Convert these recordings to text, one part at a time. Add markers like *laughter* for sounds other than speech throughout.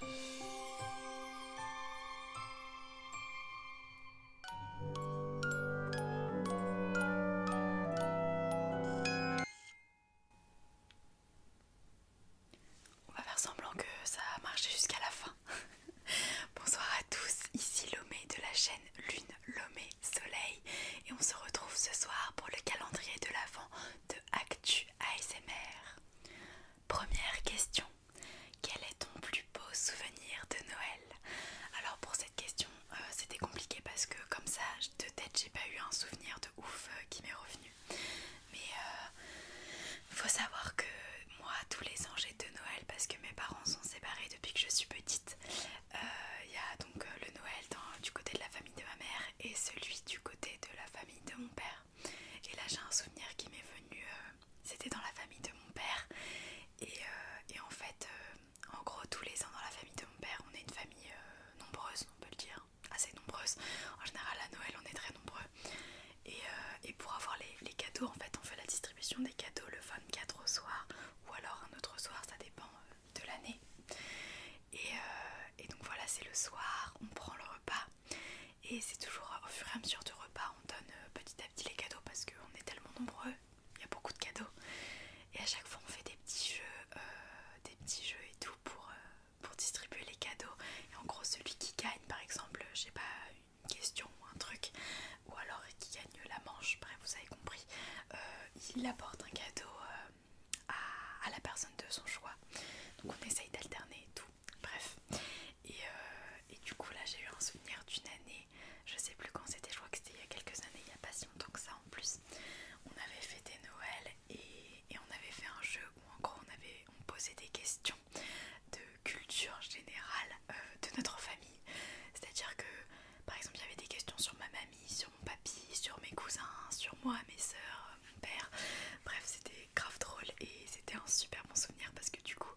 On va faire semblant que ça a marché jusqu'à la fin. *laughs* Bonsoir à tous, ici Lomé de la chaîne Lune Lomé Soleil et on se retrouve ce soir pour le calendrier de l'Avent de Actu ASMR. Première question. Quel est ton plus beau souvenir de Noël Alors pour cette question, euh, c'était compliqué parce que comme ça, de tête, j'ai pas eu un souvenir de ouf euh, qui m'est revenu. Mais euh, faut savoir que moi, tous les ans, j'ai deux Noël parce que mes parents sont séparés depuis que je suis petite. Il y a donc le Noël du côté de la famille de ma mère et celui du côté de la famille de mon père. Et là j'ai un souvenir qui m'est venu, euh, c'était dans la famille de mon père. Et, euh, en fait, euh, en gros tous les ans dans la famille de mon père, on est une famille nombreuse, on peut le dire, assez nombreuse. En général à Noël on est très nombreux. Et, pour avoir les, les cadeaux en fait on fait la distribution des cadeaux le 24 au soir ou alors un autre soir, ça dépend de l'année. Euh, et, donc voilà, c'est le soir, on prend le repas. Et c'est toujours au fur et à mesure du repas, on donne euh, petit à petit les cadeaux parce qu'on est tellement nombreux, il y a beaucoup de cadeaux. Et à chaque fois, on fait des petits jeux, euh, des petits jeux et tout pour, pour distribuer les cadeaux. Et en gros, celui qui gagne, par exemple, je sais pas, une question ou un truc, ou alors qui gagne la manche, bref, vous avez compris. Euh, il apporte un cadeau euh, à, la personne de son choix. Donc on essaye d'alterner et tout. Bref. Euh, et, du coup là j'ai eu un souvenir d'une année, je sais plus quand c'était, je crois que c'était il y a quelques années, il y a pas si longtemps que ça en plus. On avait fêté Noël et, on avait fait un jeu où encore on, avait, on posait des questions de culture générale euh, de notre famille. C'est-à-dire que, par exemple, il y avait des questions sur ma mamie, sur mon papy, sur mes cousins, sur moi, mes soeurs, mon père. Bref, c'était grave drôle et c'était un super bon souvenir parce que du coup,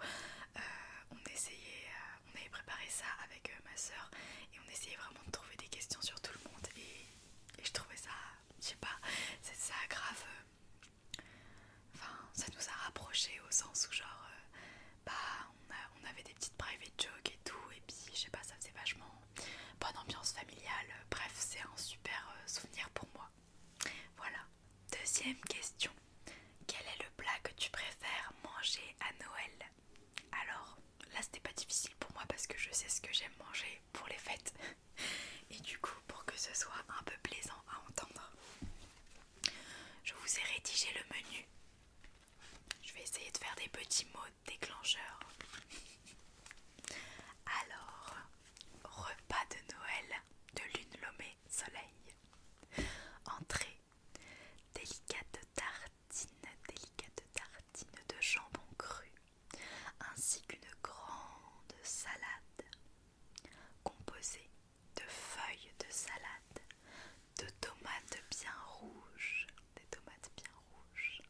euh, on essayait, euh, on avait préparé ça avec ma soeur et on essayait vraiment de trouver des questions sur tout le monde. Et, je trouvais ça, je sais pas, c'est ça grave. Enfin, ça nous a rapprochés au sens où genre bah on, on avait des petites private jokes et tout et puis je sais pas ça faisait vachement bonne ambiance familiale bref c'est un super euh, souvenir pour moi voilà deuxième question quel est le plat que tu préfères manger à Noël alors là c'était pas difficile pour moi parce que je sais ce que j'aime manger pour les fêtes *laughs* et du coup pour que ce soit un peu plaisant à entendre je vous ai rédigé le menu. Je vais essayer de faire des petits mots déclencheurs. Alors, repas de Noël de lune lomée soleil. Entrée, délicate tartine, délicate tartine de jambon cru, ainsi qu'une grande salade Composée de feuilles de salade, de tomates bien rouges, tomates bien rouges,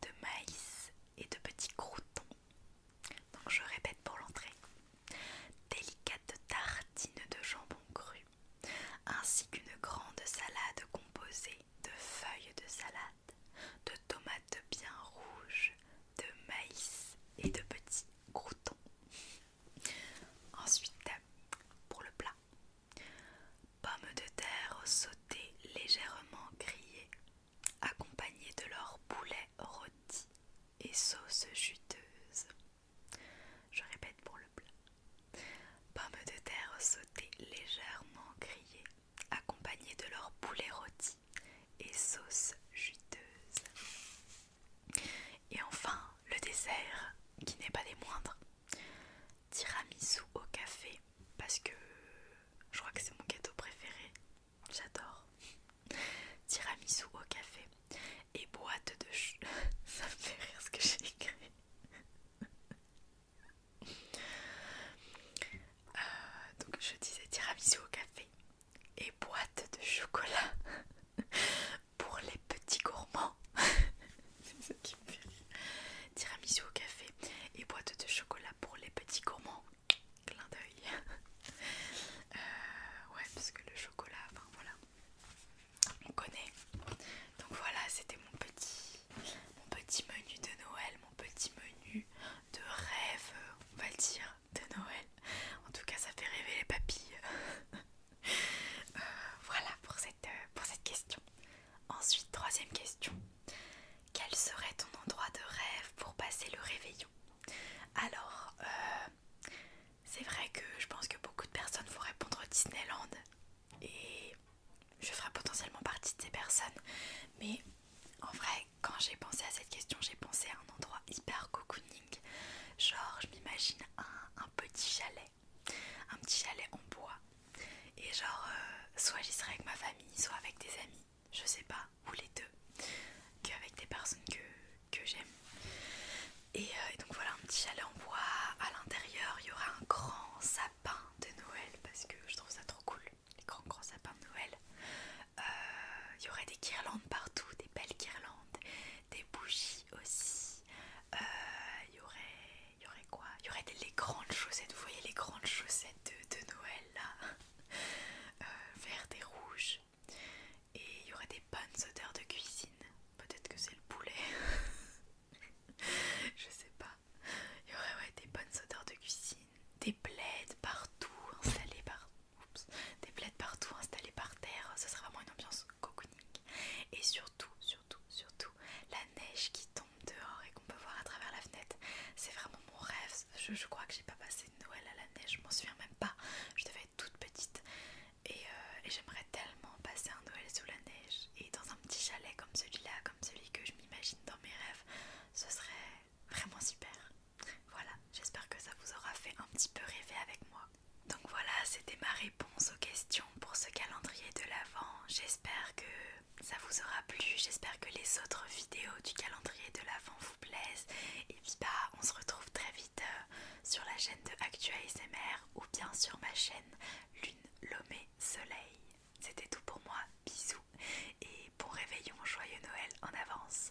de maïs et de petits croutons. Donc je répète pour l'entrée. Délicate tartine de jambon cru, ainsi qu'une grande salade composée de feuilles de salade, de tomates bien rouges, de maïs et de petits croutons. Ensuite, pour le plat, pommes de terre sautées légèrement grillées, accompagnées de leur poulet rôti et sauce juteuse. Je répète pour le plat. Pommes de terre sautées légèrement grillées, accompagnés de leur poulet rôti et sauce juteuse. Et enfin, le dessert, qui n'est pas des moindres, tiramisu au café, parce que je crois que c'est mon gâteau préféré, j'adore. Tiramisu au café et boîte de *laughs* ça me fait rire ce que j'ai écrit. Euh, donc je disais tiramisu au café et boîte de chocolat *laughs* pour les petits gourmands. *laughs* C'est ça qui me fait Tiramisu au café et boîte de chocolat pour les petits gourmands. Clin d'œil. *laughs* Euh, ouais, parce que le chocolat, enfin voilà, on connaît. Donc voilà, c'était mon petit mon petit menu de Noël, mon petit menu de rêve, on va le dire, de Noël. En tout cas, ça fait rêver les papilles. *laughs* Euh, voilà euh, pour cette, question. Ensuite, troisième question. Quel serait ton endroit de rêve pour passer le réveillon Alors, euh, c'est vrai que je pense que beaucoup de personnes vont répondre Disneyland et je ferai potentiellement partie de ces personnes. Mais en vrai, quand j'ai pensé à cette question, j'ai pensé à un endroit hyper cocooning. Genre, je m'imagine un, petit chalet, un petit chalet en bois. Et genre, euh, soit j'y serai avec ma famille, soit avec des amis, je sais pas, ou les deux, qu'avec des personnes que, j'aime. Euh, et donc voilà, un petit chalet en bois. À l'intérieur, il y aura un grand sapin de Noël parce que je trouve ça trop cool, les grands grands sapins de Noël. Euh, il y aurait des guirlandes partout, des belles guirlandes, des bougies aussi. Euh, il, y aurait, il y aurait quoi Il y aurait les grandes chaussettes, vous voyez les grandes chaussettes de, Noël là, euh, vertes et rouges. Et il y aurait des bonnes odeurs de cuisine. Peut-être que c'est le poulet. *laughs* *laughs* je sais pas. Il y aurait des bonnes odeurs de cuisine, des plaides partout Installées par... Des plaides partout par terre, ce sera vraiment une ambiance cocooning. Et surtout, surtout, surtout, la neige qui tombe dehors et qu'on peut voir à travers la fenêtre. C'est vraiment mon rêve. Je, crois que j'ai pas passé Noël à la neige, je m'en souviens même pas. Je devais toute petite euh, et, j'aimerais tellement passer un Noël sous la neige et dans un petit chalet comme celui-là, comme celui que je m'imagine dans mes rêves, ce serait vraiment super. Voilà, j'espère que ça vous aura fait un petit peu rêver avec moi. Donc voilà, c'était ma réponse aux questions pour ce calendrier de l'Avent. J'espère que ça vous aura plu, j'espère que les autres vidéos du calendrier de l'Avent vous plaisent. Et puis bah, on se retrouve très vite. Euh, sur la chaîne de Actua ASMR ou bien sur ma chaîne Lune Lomé Soleil. C'était tout pour moi, bisous et bon réveillon, joyeux Noël en avance.